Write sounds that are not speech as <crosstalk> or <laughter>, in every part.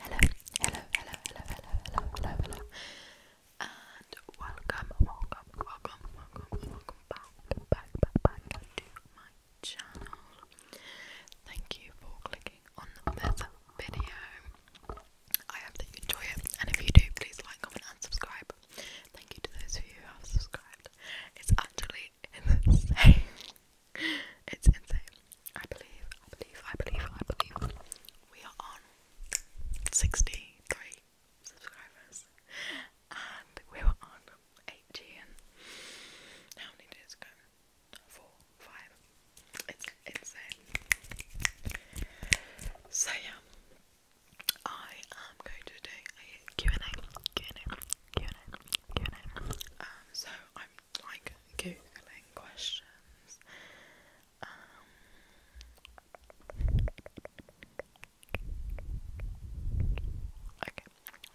Hello, hello, hello, hello, hello, hello, hello, hello, and welcome, welcome, welcome, welcome, welcome back, back, back, back to my channel. Thank you for clicking on this video. I hope that you enjoy it, and if you do, please like, comment, and subscribe. Thank you to those of you who have subscribed. It's actually insane. It's insane. I believe, I believe, I believe, I believe we are on 63 subscribers. And we were on 80 how many days ago? Four, five. It's insane. So yeah, I am going to do a and a and a and a and a um, so I'm like googling questions. okay. Um,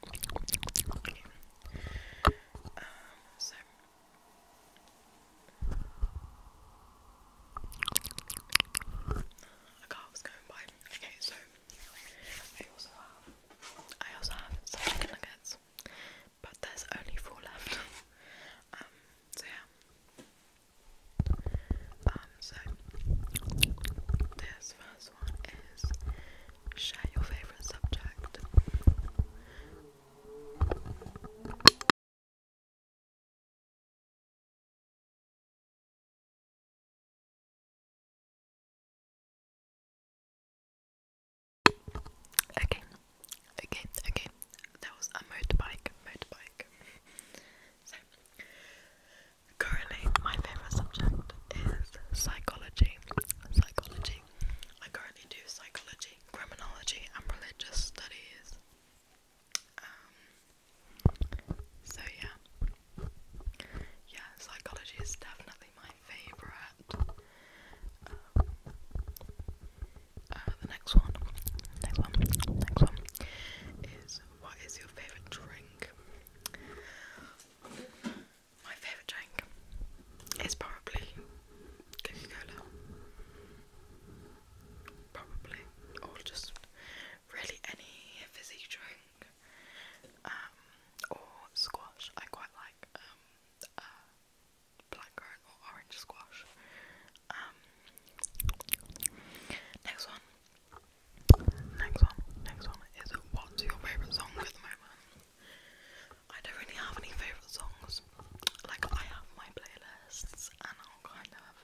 okay. Um, so. I can't, was going by. Okay, so I also have some chicken nuggets, but there's only four left. <laughs> Um, so yeah. Um, so this first one is share your favorite subject. Okay, okay, okay. That was a motorbike, motorbike. so, currently, my favorite subject is psychology. Psychology. I currently do psychology, criminology, and religious studies. Um, so yeah, yeah, psychology is definitely my favourite. Um, uh, the next one, next one, next one is what is your favourite drink? My favourite drink is probably Coca Cola. Probably, or just really any fizzy drink. Um, or squash. I quite like um, or orange squash. Um, next one. Next one. Next one is what's your favourite song at the moment? I don't really have any favourite songs. Like I have my playlists and I'll kind of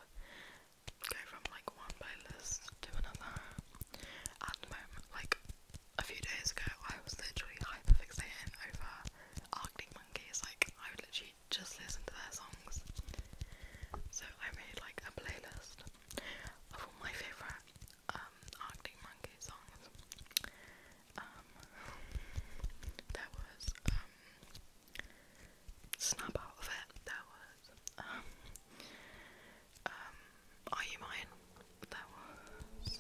go from like one playlist to another. At the moment, like a few days ago, I was literally hyper fixating over Arctic Monkeys. Like I would literally just listen to their songs. So I made like a playlist of all my favorite um, Arctic Monkey songs. Um, was um, Snap Out of It. There was guys. Um, um, are you mine? Um, that was,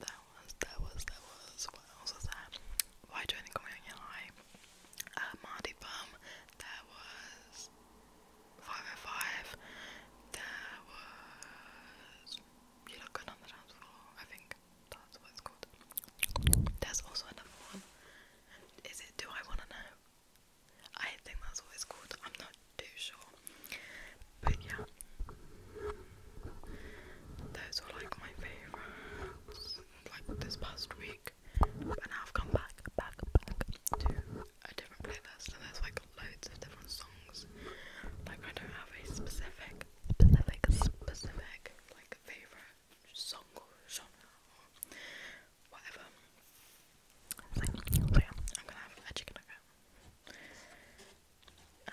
that was, that was, that was, what else was that? Why do I think I'm going to lie? Uh, Marty that was, 505, there was You Look Good on the I think that's what it's called. There's also another one. Is it Do I Wanna Know? I think that's what it's called. I'm not too sure. But yeah. Those were like my favourites like this past week break, but now I've come back, back, back to a different playlist, and there's like loads of different songs. Like I don't have a specific, specific, specific like favorite song or genre or whatever. So, yeah, I'm gonna have a chicken nugget. Um,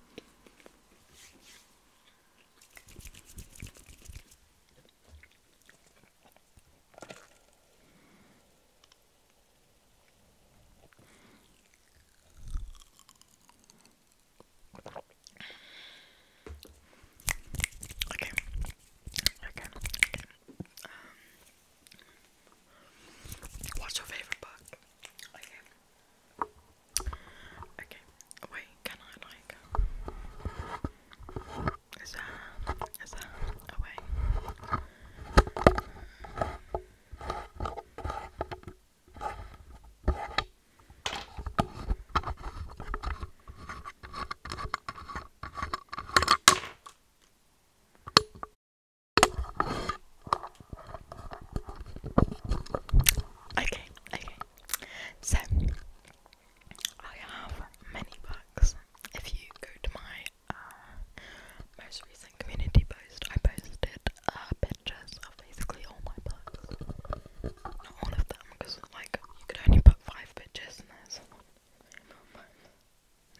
Okay. Okay. Okay. Um, what's your favorite book? Okay, wait, can I like is that is that away? Okay, okay. So I have many books. If you go to my uh, most recent community post, I posted uh, pictures of basically all my books. Not all of them, because like you could only put five pictures, and there's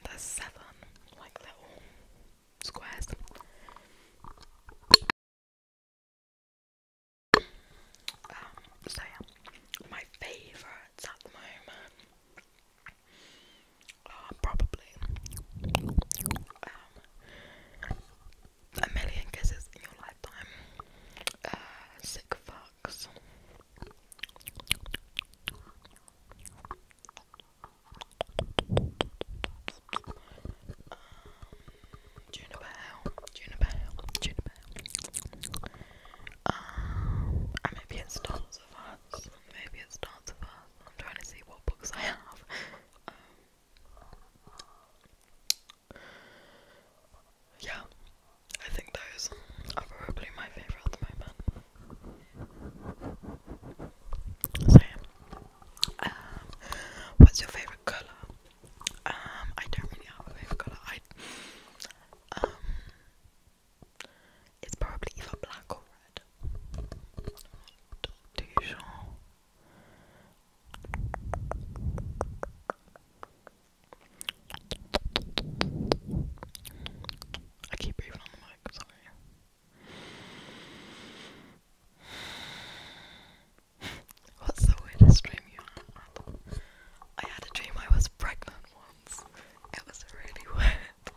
there's seven. Like they squares. Um, so yeah, my favourites at the moment are probably um, a million kisses in your lifetime, uh, sick fucks. Juniper Juniper Juniper Um, maybe it starts with us. Maybe it starts with us. I'm trying to see what books I have. Um, yeah, I think those are probably my favourite at the moment. So, yeah. Um, what's your favorite color? Um, I don't really have a favorite color. Um, it's probably either black or red. Not too I keep breathing on the mic. Sorry. <sighs> What's the weirdest dream you had? I had a dream I was pregnant once. It was really <laughs> weird.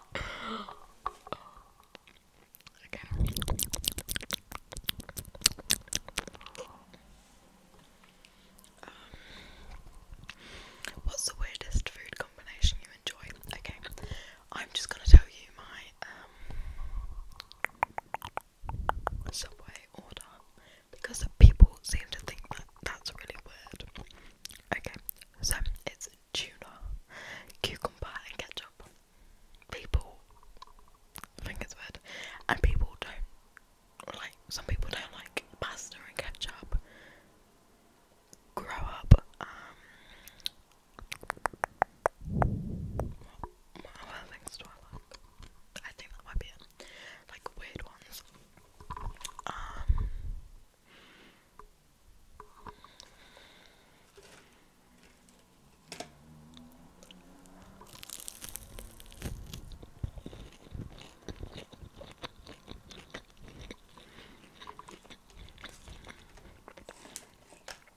Okay. Um, what's the weirdest food combination you enjoy? Okay, I'm just gonna tell you my um, subway order because people seem to think that that's really weird. Okay, so it's tuna, cucumber, and ketchup. People think it's weird, and people don't like. Some people don't like pasta and ketchup. Grow up. Um, what other things do I I think that might be it. Like weird ones. Um,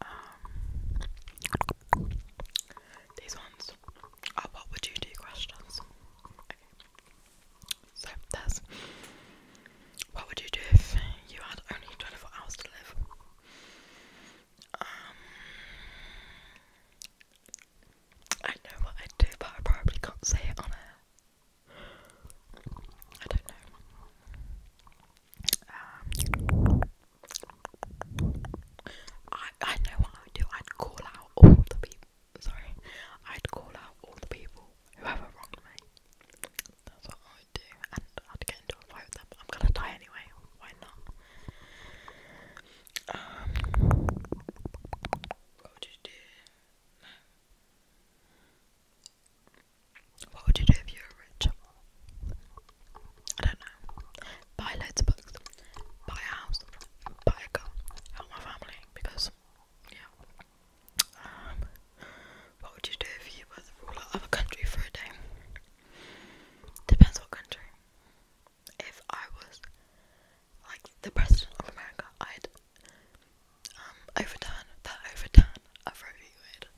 Um, these ones are uh, what would you do questions. So there's what would you do if you had only 24 hours to live? Um, I know what I'd do, but I probably can't say it on air. I don't know. Um, I I know what I would do. I'd call out all the people. Sorry, I'd call out all the people who ever wronged me. That's what I would do, and I'd get into a fight with them. I'm gonna die anyway. Why not? Um, what would you do if you were rich? I don't know. Buy loads of Buy a house. Buy a car. Help my family because, yeah. Um, what would you do if you were the ruler of a country for a day? Depends what country. If I was like the president of America, I'd um, overturn that overturn of Roe v.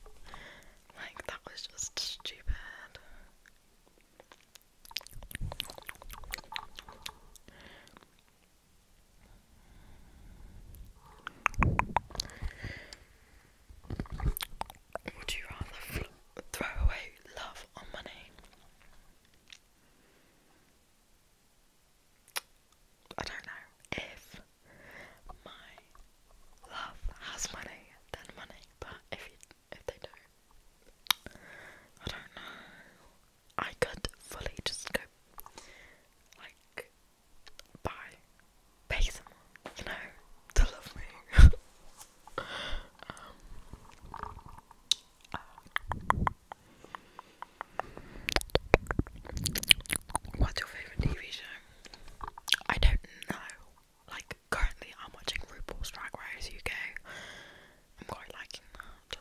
Like, that was just stupid. Would you rather throw away love or money? I don't know if my love has money, then money. But if you, if they don't, I don't know. I could fully just go like buy, pay someone, you know, to love me. <laughs> Um, what's your favourite TV show? I don't know like currently I'm watching RuPaul's Drag Race UK. I'm quite liking that.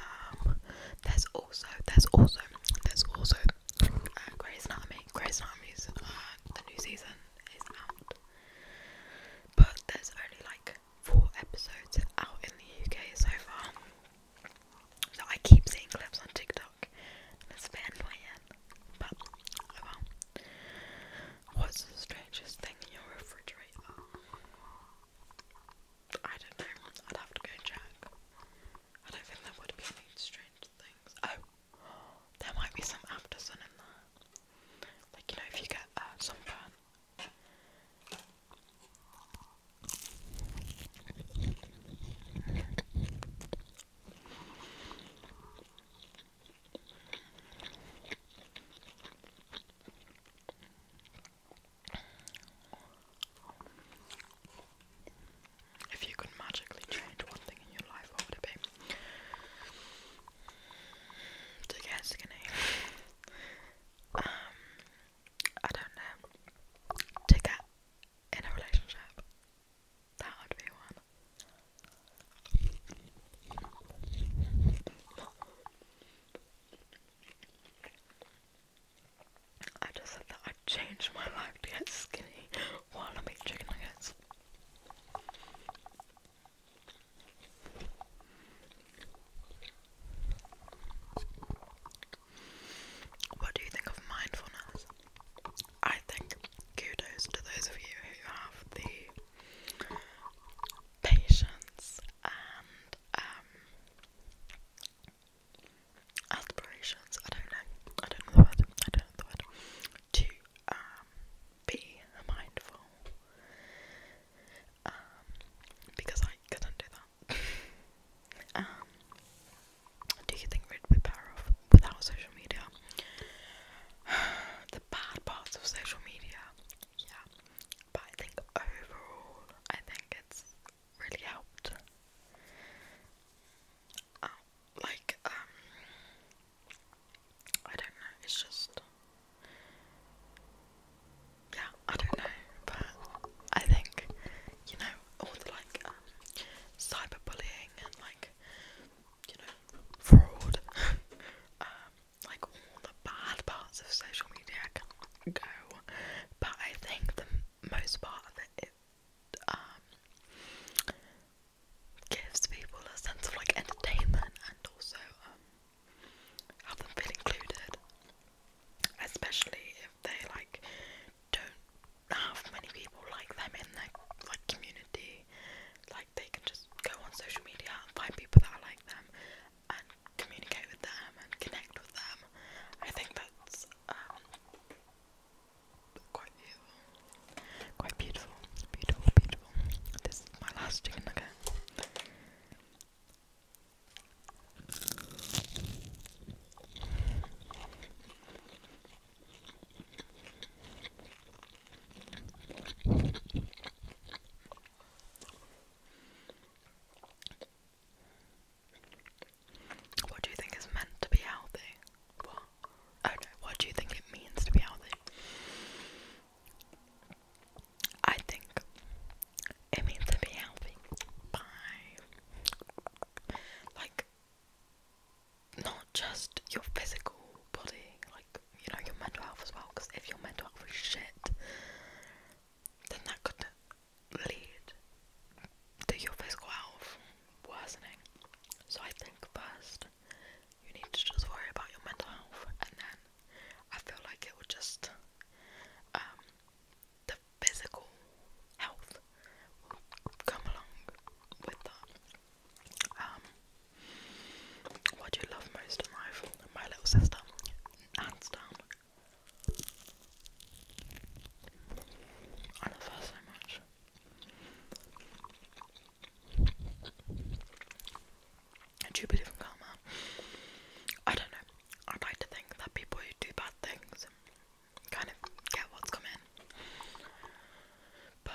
Um, there's also there's also there's also uh, Grey's Anatomy. Grey's Anatomy's uh, the new season is out, but there's only like four episodes out in the UK so far. So I keep seeing clips on TikTok. It's a bit annoying, but oh What's the strangest thing in your refrigerator? I don't know. I'd have to go check. I don't think there would be any strange things. Oh, there might be some after sun in there. Like, you know, if you get uh, sunburn. If you could magically change one thing in your life, what would it be? To get skinny. um, I don't know. To get in a relationship. That would be one. I just said that I'd change my life to get skinny while I make chicken nuggets. What do you think of mindfulness? I think kudos to those of you who have the patience and um, aspirations, I don't know, I don't know the word, I don't know the word, to um, be mindful. Um, because I couldn't do that. <laughs> do you think we'd be better off without social media. <sighs> the bad parts of social media, yeah. But I think overall, I think it's really helped. Uh, like, um, I don't know, it's just. Yeah, I don't know, but I think, you know, all the like um, cyberbullying and like you know, fraud. <laughs> um, like all the bad parts of social media can go, but I think the most part of it, it um, gives people a sense of like entertainment and also um, have them feel included, especially if they like don't have many people like them in their like community they can just go on social media and find people that like them and communicate with them and connect with them. I think that's um, quite beautiful. Quite beautiful. Beautiful, beautiful. This is my last chicken nugget. What do you think is meant to be healthy? What? Oh what do you think it means to be healthy? I think it means to be healthy by like not just your physical body, like you know your mental health as well. Because if your mental health is shit, then that could lead to your physical health worsening. So I think first you need to just worry about your mental health, and then I feel like it will just um, the physical health come along with that. Um, what do you love most in life? My little sister, hands down. I love her so much. Do you believe in karma? I don't know. I'd like to think that people who do bad things kind of get what's coming. But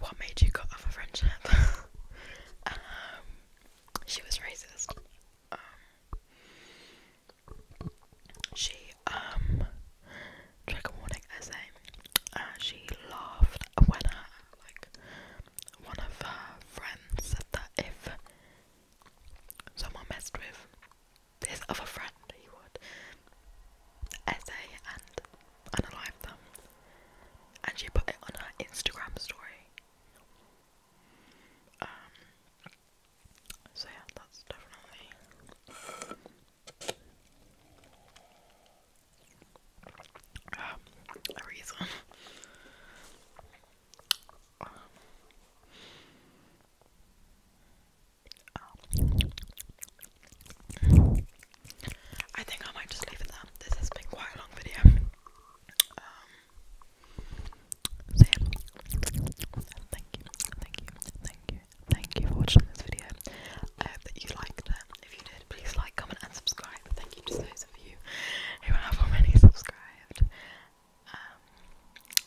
What made you cut off a friendship? <laughs> Um, she was racist. Um, she, um, trigger warning essay. Uh, she laughed when her, like, one of her friends said that if someone messed with his other friend, he would essay and unalive them. And she put it on her Instagram story. Um, so yeah, that's definitely. a reason. Um, I think I might just leave it there. This has been quite a long video. Um, thank you, thank you, thank you, thank you for watching this video. I hope that you liked it. If you did, please like, comment, and subscribe. Thank you to those of you who have already subscribed um,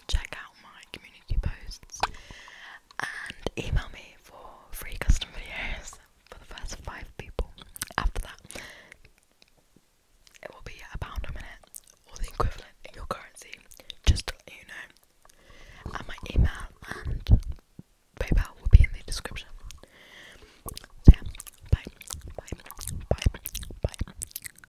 check out my community posts and email me for free custom videos for the first five people. After that, it will be a pound a minute or the equivalent in your currency, just let you know. And my email and PayPal will be in the description. yeah, bye, bye, bye, bye.